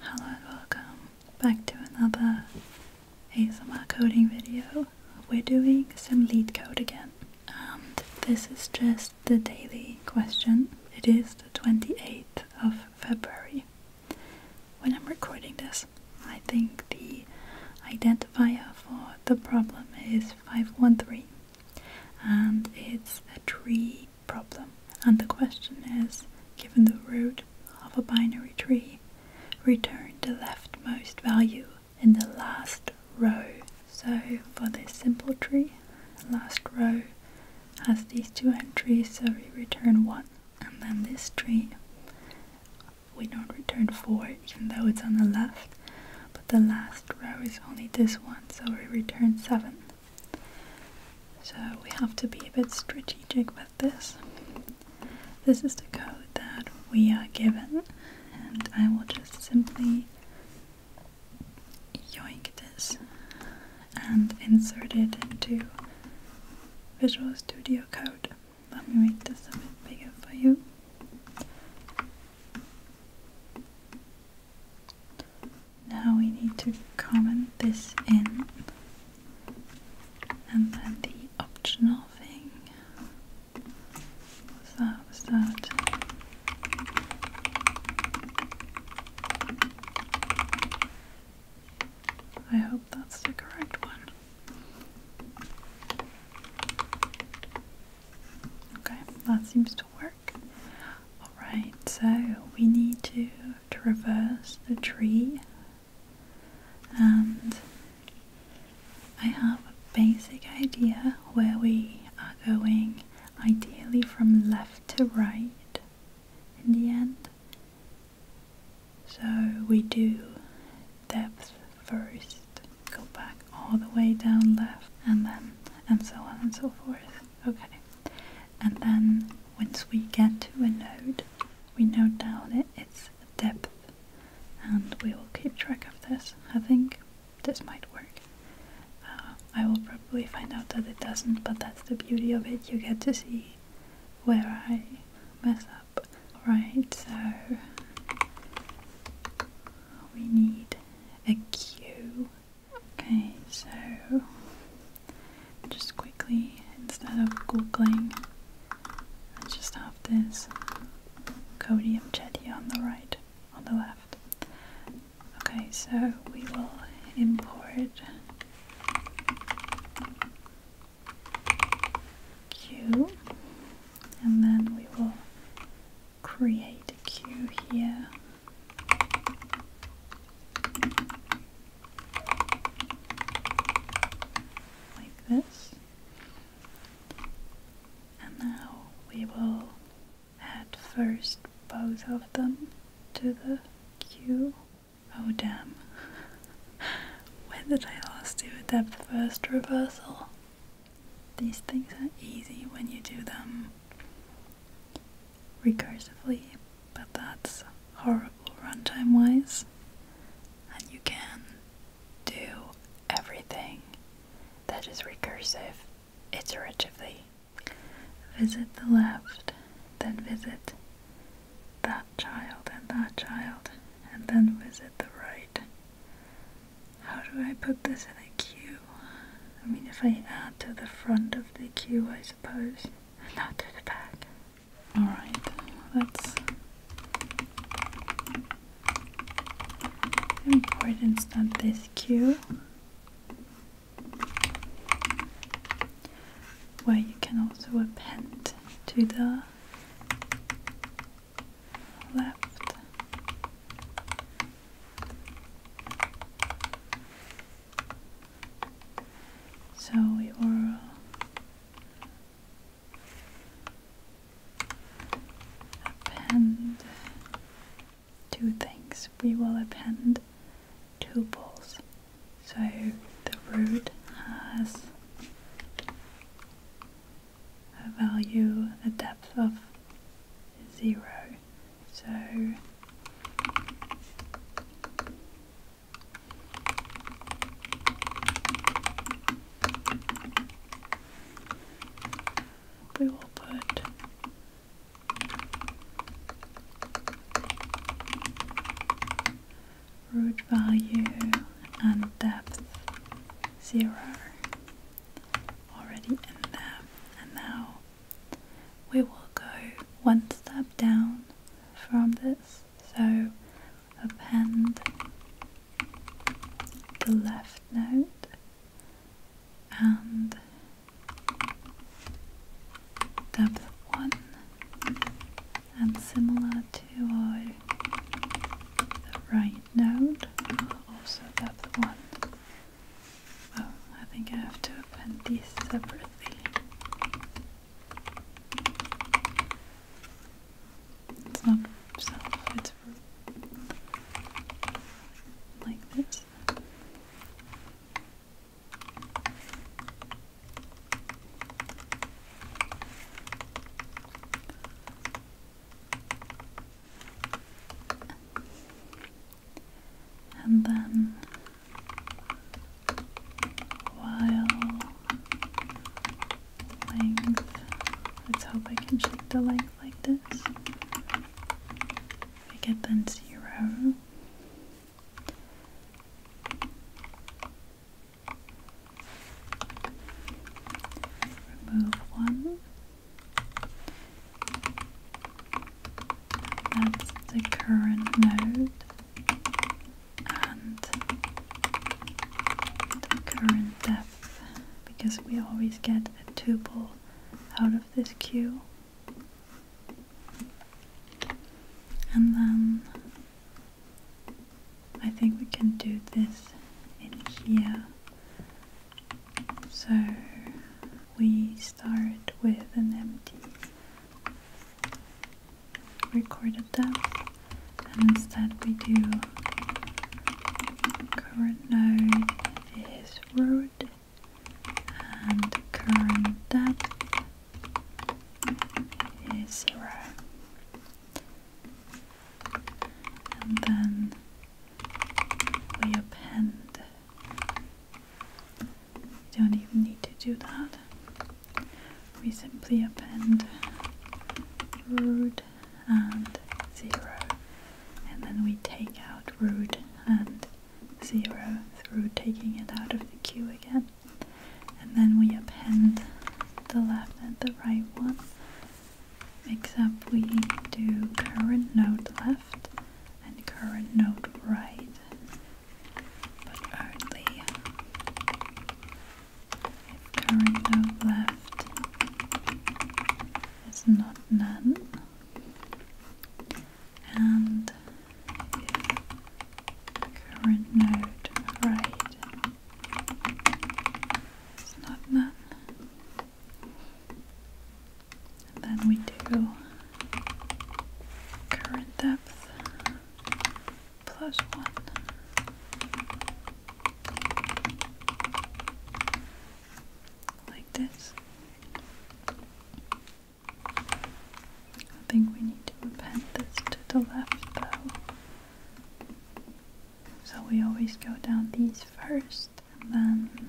Hello and welcome back to another ASMR coding video. We're doing some lead code again and this is just the daily question. It is the 28th of February. When I'm recording this, I think the identifier for the problem is 513 and it's a tree problem. And the question is, given the root of a binary tree, return the leftmost value in the last row. So for this simple tree, last row has these two entries, so we return 1. And then this tree, we don't return 4 even though it's on the left, but the last row is only this one, so we return 7. So we have to be a bit strategic with this. This is the code that we are given, and I will just simply yoink this and insert it into Visual Studio Code. Let me make this a bit bigger for you. Now we need to comment this in and then the optional thing was I hope that's the correct one okay that seems to work alright so we need to traverse the tree and I have a basic idea where we are going ideally from left to right in the end so we do depth first go back all the way down left and then and so on and so forth okay and then once we get to a node we note down its depth and we will keep track of this. I think this might work. Uh, I will probably find out that it doesn't, but that's the beauty of it. You get to see where I mess up. Right. so we need a queue. Okay, so just quickly instead of googling I just have this Codium Jetty on the right, on the left. Okay, so we will import Q and then we will create a here like this. And now we will add first both of them to the queue. Oh damn. when did I last do that first reversal? These things are easy when you do them recursively, but that's horrible runtime wise. And you can do everything that is recursive iteratively. Visit the left, then visit that child and that child, and then visit the right. How do I put this in a queue? I mean, if I add to the front of the queue, I suppose, and not to the back. All right, that's the importance that this cue where you can also append to the left so we will append two things. We will append two balls. So the root has a value, a depth of zero. So we will put root value and depth zero already in there, and now we will go one step down from this so append the left note and depth 1 and similar to our right note, also depth 1 well I think I have to append these separately it's not it's like this. And then while length. Let's hope I can check the length like this. I get then zero. Remove one. That's the current node and the current depth because we always get a tuple out of this queue, and then I think we can do this in here so we start with an empty recorded that and instead we do current node is root and current depth is zero and then we append you don't even need to do that we simply append root and 0 and then we take out root and 0 through taking it out of the queue again and then we append the left and the right one except we do current node left and current node right but only current hope left is not none and current node right is not none then we do current depth plus one. Like this. I think we need to append this to the left So we always go down these first and then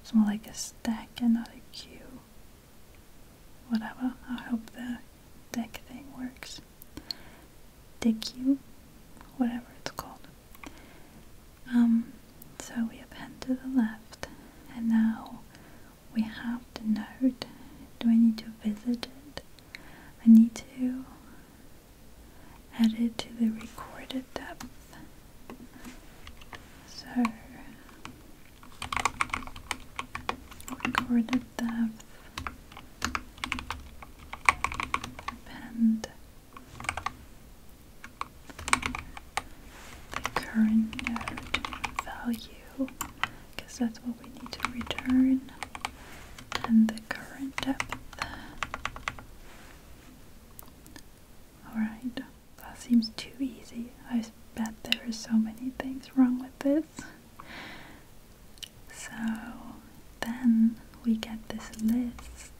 it's more like a stack and not a queue whatever. I hope the deck thing works. Deck you, whatever it's called. Um, so we append to the left, and now we have the node. Do I need to visit it? I need to add it to the recorded depth. So recorded depth, and the current node value, because that's what we need to return, and the current depth. Alright, that seems too easy. I bet there are so many things wrong with this. So then we get this list.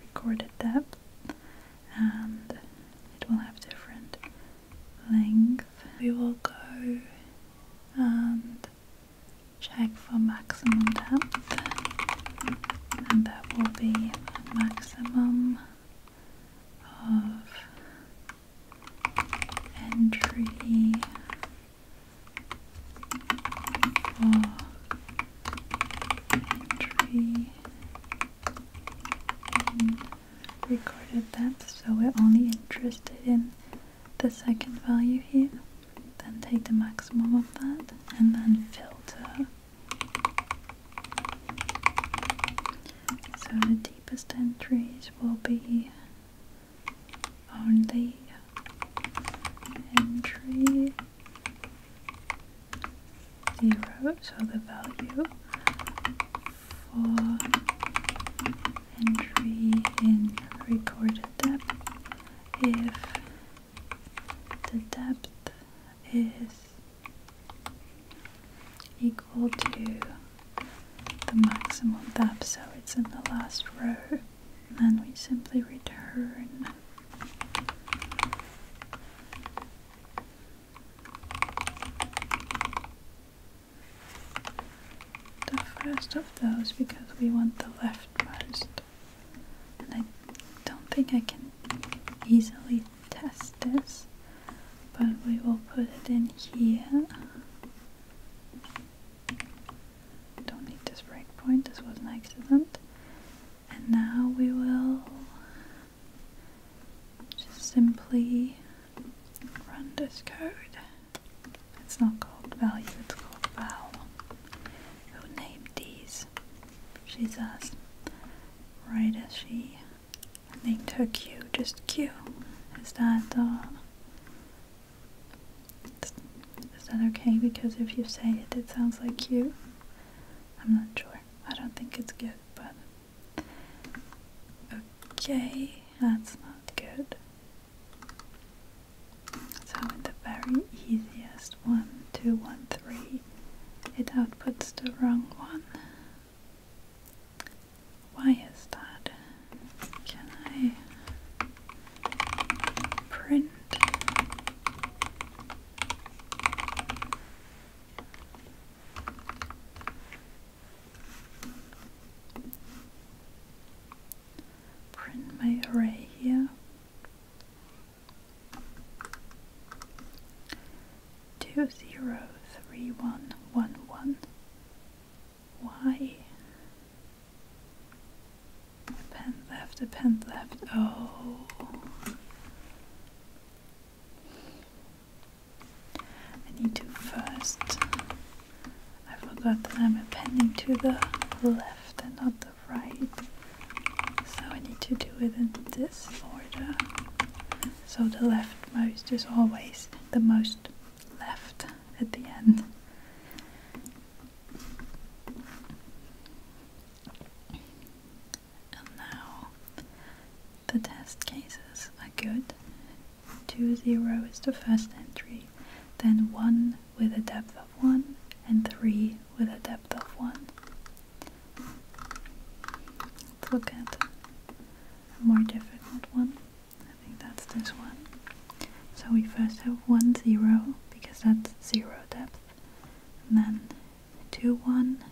Recorded depth, and it will have different length. We will go and check for maximum depth, and that will be maximum of entry for entry in recorded depth, so we're only interested in the second value here. Then take the maximum of that and then filter so the deepest entries will be on the entry zero, so the value for entry in recorded depth if the depth is equal to the maximum depth, so it's in the last row. And then we simply return the first of those because we want the leftmost. And I don't think I can easily test this but we will put it in here don't need this breakpoint this was an accident and now we will just simply run this code it's not called value it's called val who named these She says right as she, I think, took Q, just Q. Is that, uh, is that okay? Because if you say it, it sounds like Q. I'm not sure. I don't think it's good, but. Okay, that's not good. So in the very easiest one, two, one, three it outputs the wrong one. Why is that? Can I print? Print my array here. Two zero three one one one. Why? Pen left, a pen left. Oh. I need to first. I forgot that I'm appending to the left and not the right. So I need to do it in this order. So the leftmost is always the most left at the end. And now the test cases are good. 2 0 is the first entry, then 1 with a depth of 1, and 3 with a depth of 1. Let's look at a more difficult one. I think that's this one. So we first have 1, 0, because that's 0 depth. then 2, 1.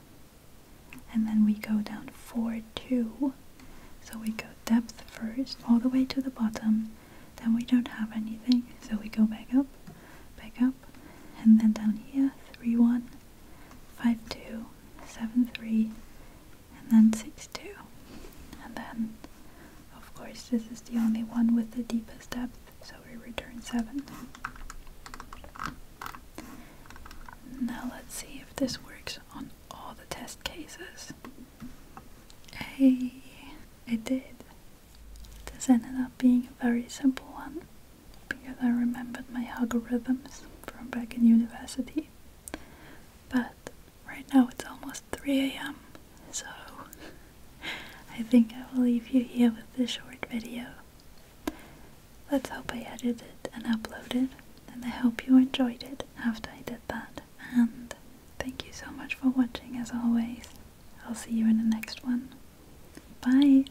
And then we go down 4, 2. So we go depth first, all the way to the bottom. Then we don't have anything, so we go back up, back up. And then down here, 3, 1 five two, seven three, and then six two. And then, of course, this is the only one with the deepest depth, so we return seven. Now let's see if this works on all the test cases. Hey, it did. This ended up being a very simple one because I remembered my algorithms from back in university. But right now it's almost 3 am, so I think I will leave you here with this short video. Let's hope I edited and uploaded, and I hope you enjoyed it after I did that. And thank you so much for watching as always. I'll see you in the next one. Bye!